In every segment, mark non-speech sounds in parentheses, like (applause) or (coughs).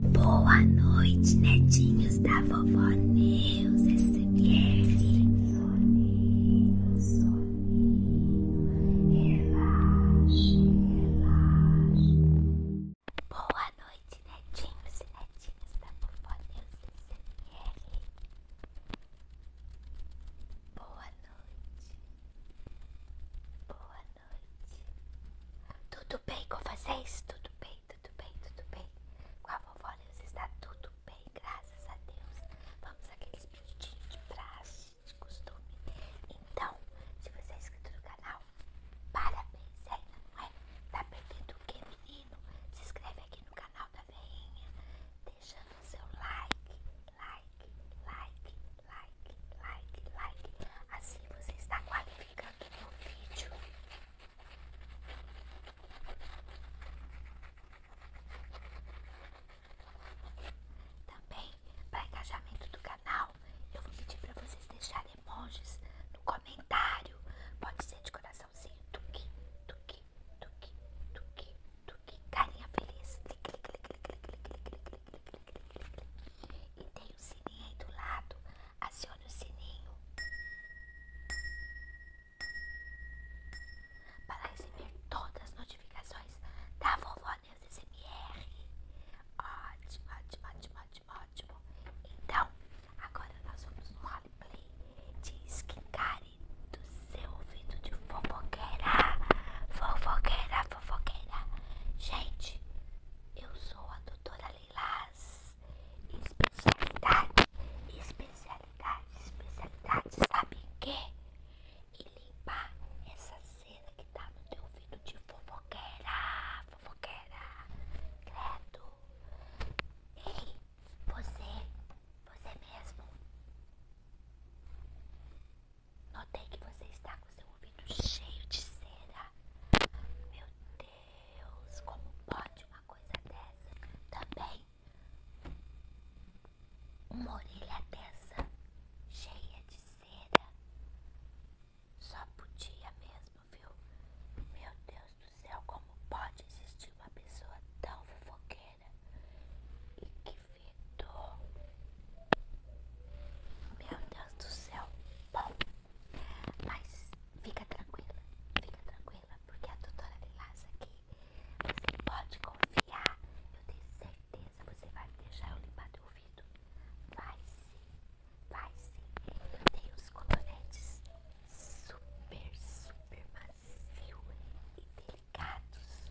Boa noite, netinhos da vovó Neus SMR. É soninho, soninho, relaxe, relaxe. Boa noite, netinhos e netinhas da vovó Neus SMR. É Boa noite. Boa noite. Tudo bem com vocês? Tudo bem, tudo bem, tudo bem. Com a vovó Luz está tudo bem, graças a Deus. Vamos aqueles pedidos de praxe, de costume. Então, se você é inscrito no canal, parabéns, ainda é, não é? Tá perdendo o que, menino? Se inscreve aqui no canal da Veinha, deixando o seu like, like, like, like, like, like. Assim você está qualificando gostado do vídeo. Também, para engajamento do canal, eu vou pedir para vocês deixarem emojis no comentário. Pode ser de coraçãozinho, tuque, tuque, tuque, tuque, tuque, carinha feliz. E tem tem sininho aí do lado, acione o sininho para receber todas as notificações da Vovó News SMR. Ótimo, ótimo, ótimo, ótimo, ótimo. Então, agora nós vamos no roleplay de skincare do seu ouvido de fofoqueira. Fofoqueira, fofoqueira. Gente, eu sou a doutora Leilás. Especialidade, especialidade, especialidade. Sabe o quê? E limpar essa cera que tá no teu ouvido de fofoqueira. Fofoqueira. Credo. Ei, você. Você mesmo. Notei que você está com seu ouvido cheio de cera. Meu Deus. Deus, como pode uma coisa dessa? Também uma orelha dessa, cheia de cera, só podia mesmo, viu? Meu Deus do céu, como pode existir uma pessoa tão fofoqueira? E que fedor! Meu Deus do céu, bom, mas Fica tranquila, fica tranquila, porque a doutora Lilás aqui, você pode confiar. Eu tenho certeza, você vai deixar eu limpar teu ouvido. Vai sim, vai sim. Eu tenho os cotonetes super, super macios e delicados.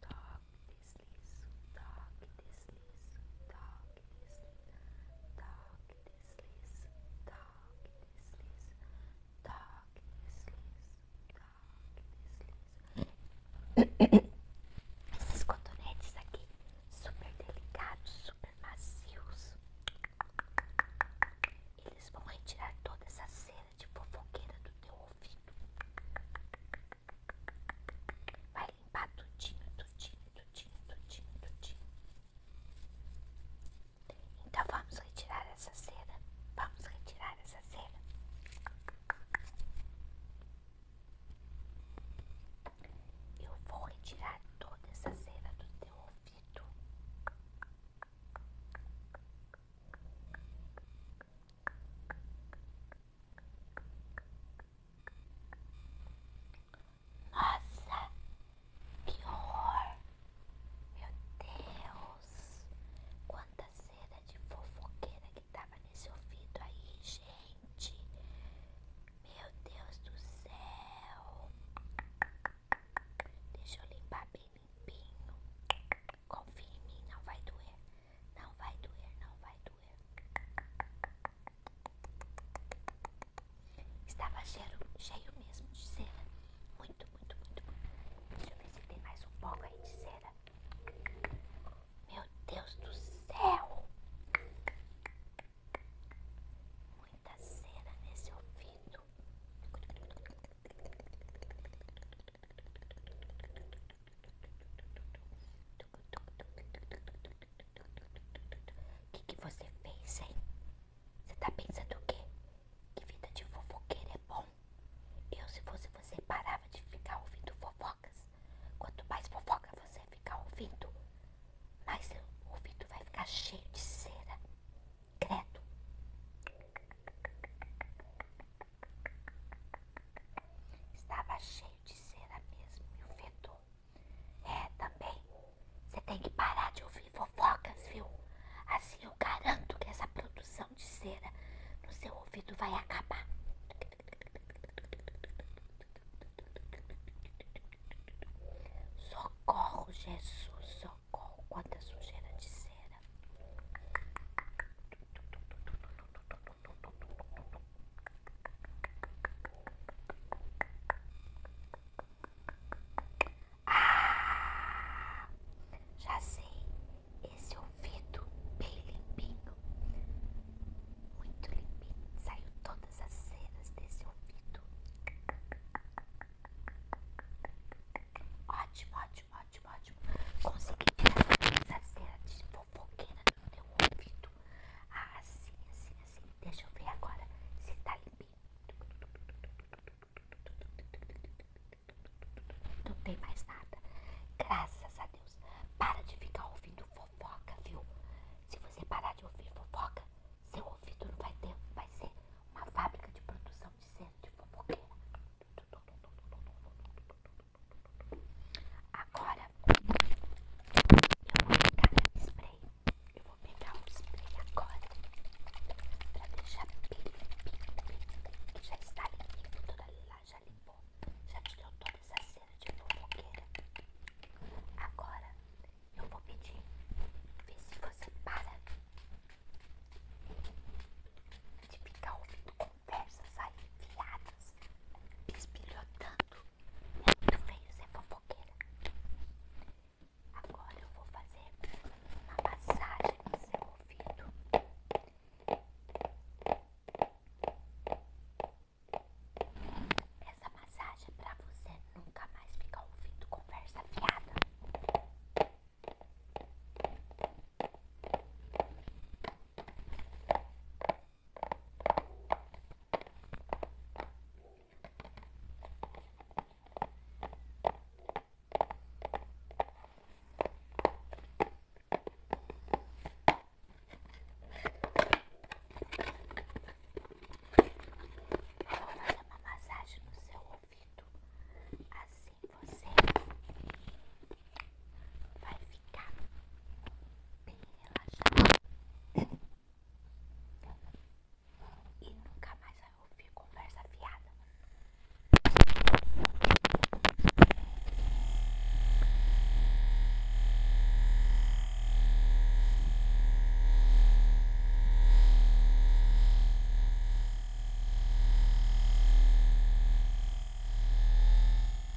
Top! toque, deslizo, toque, deslizo, toque, deslizo, toque, deslizo, toque, deslizo, toque, deslizo. (coughs) Esses cotonetes aqui, super delicados, super macios. Eles vão retirar toda essa cera de fofoqueira do teu ouvido. Vai limpar tudinho, tudinho, tudinho, tudinho, tudinho. Então vamos retirar essa cera. Vamos retirar essa cera. Eu vou retirar toda essa cera do teu ouvido. Nossa, que horror! Meu Deus! Quanta cera de fofoqueira que tava nesse ouvido aí, gente! Meu Deus do céu! Deixa eu limpar bem limpinho. Confia em mim, não vai doer. Não vai doer, não vai doer. Estava cheio, cheio mesmo de cera. Muito, muito, muito, muito. Deixa eu ver se tem mais um pouco aí de cera. Meu Deus do céu! Muita cera nesse ouvido. O que, você fez, hein? Você tá pensando o quê? Que vida de fofoqueira é bom? Eu, se fosse você, parava de ficar ouvindo fofocas. Quanto mais fofoca você ficar ouvindo, mais seu ouvido vai ficar cheio de cera. Credo. Estava cheio de cera mesmo e o fedor. É, também. Você tem que parar de ouvir fofocas, viu? Assim eu garanto que essa produção de cera no seu ouvido vai acabar. Socorro, Jesus, socorro. Quanta sujeira de cera. Ah, já sei esse ouvido bem limpinho, muito limpinho. Saiu todas as cenas desse ouvido. Ótimo, ótimo, ótimo, ótimo. Consegui tirar essa cera de fofoqueira no meu ouvido. Ah, assim, assim, assim. Deixa eu ver agora se tá limpinho. Não tem mais nada. Graças a Deus. Para de ficar ouvindo fofoca, viu? Se você parar de ouvir fofoca, seu ouvido não vai ter, vai ser uma fábrica de produção de, de fofoqueira. Agora eu vou pegar um spray. Eu vou pegar um spray agora pra deixar bem que Já está limpinho tudo ali lá, já limpou. Já tirou toda essa cera de fofoqueira. Agora eu vou pedir, ver se você para de ficar ouvindo com conversas aí fiadas, bisbilhotando. É muito feio ser fofoqueira. Agora eu vou fazer uma massagem no seu ouvido. Essa massagem é pra você nunca mais ficar ouvindo conversa fiada. Eu vou fazer uma massagem no seu ouvido, assim você vai ficar bem relaxado e nunca mais vai ouvir conversa fiada.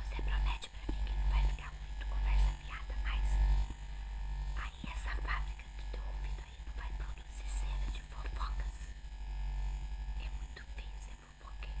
Você promete pra mim que não vai ficar muito conversa fiada, mas aí essa fábrica que teu ouvido aí não vai produzir cera de fofocas. É muito feio ser fofoqueiro.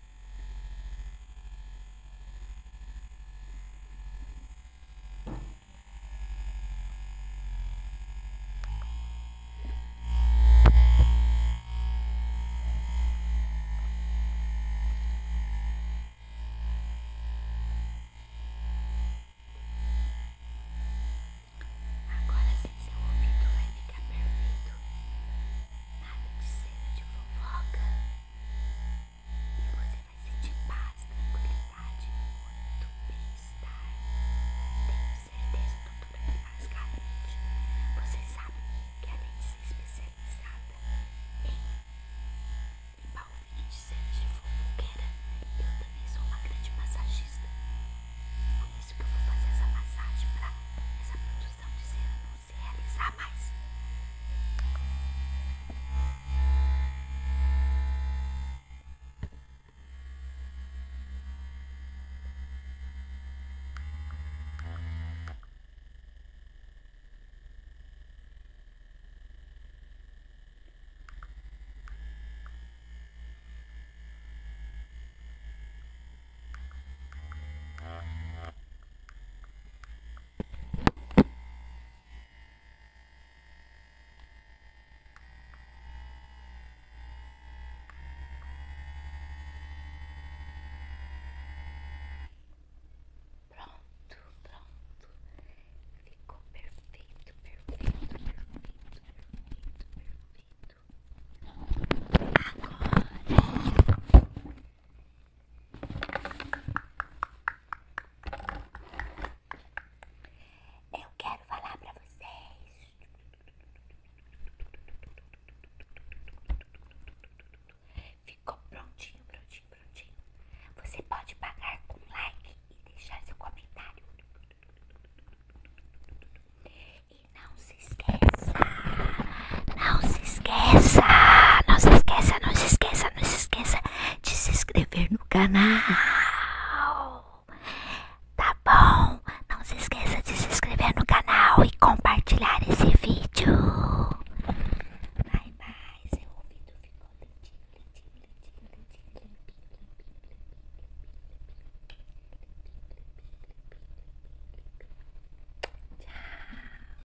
Agora sim seu ouvido vai ficar perfeito. Nada de cena de fofoca. E você vai ser de paz, tranquilidade, muito bem-estar. Tenho certeza, tudo doutora Pilar Carmente, você sabe que além de ser especializada em limpar o de cera de fofoqueira, eu também sou uma grande massagista. Por isso que eu vou fazer essa massagem para essa produção de cera não se realizar mais. Pronto, pronto. Ficou perfeito, perfeito, perfeito, perfeito, perfeito. Agora eu quero falar pra vocês Ficou prontinho, prontinho, prontinho Você pode pagar com like e deixar seu comentário E não se esqueça não se esqueça, não se esqueça, não se esqueça, não se esqueça de se inscrever no canal. Tá bom? Não se esqueça de se inscrever no canal e compartilhar esse vídeo. Bye, bye. Seu ouvido ficou lentinho, lentinho, lentinho, lentinho, lentinho. Tchau.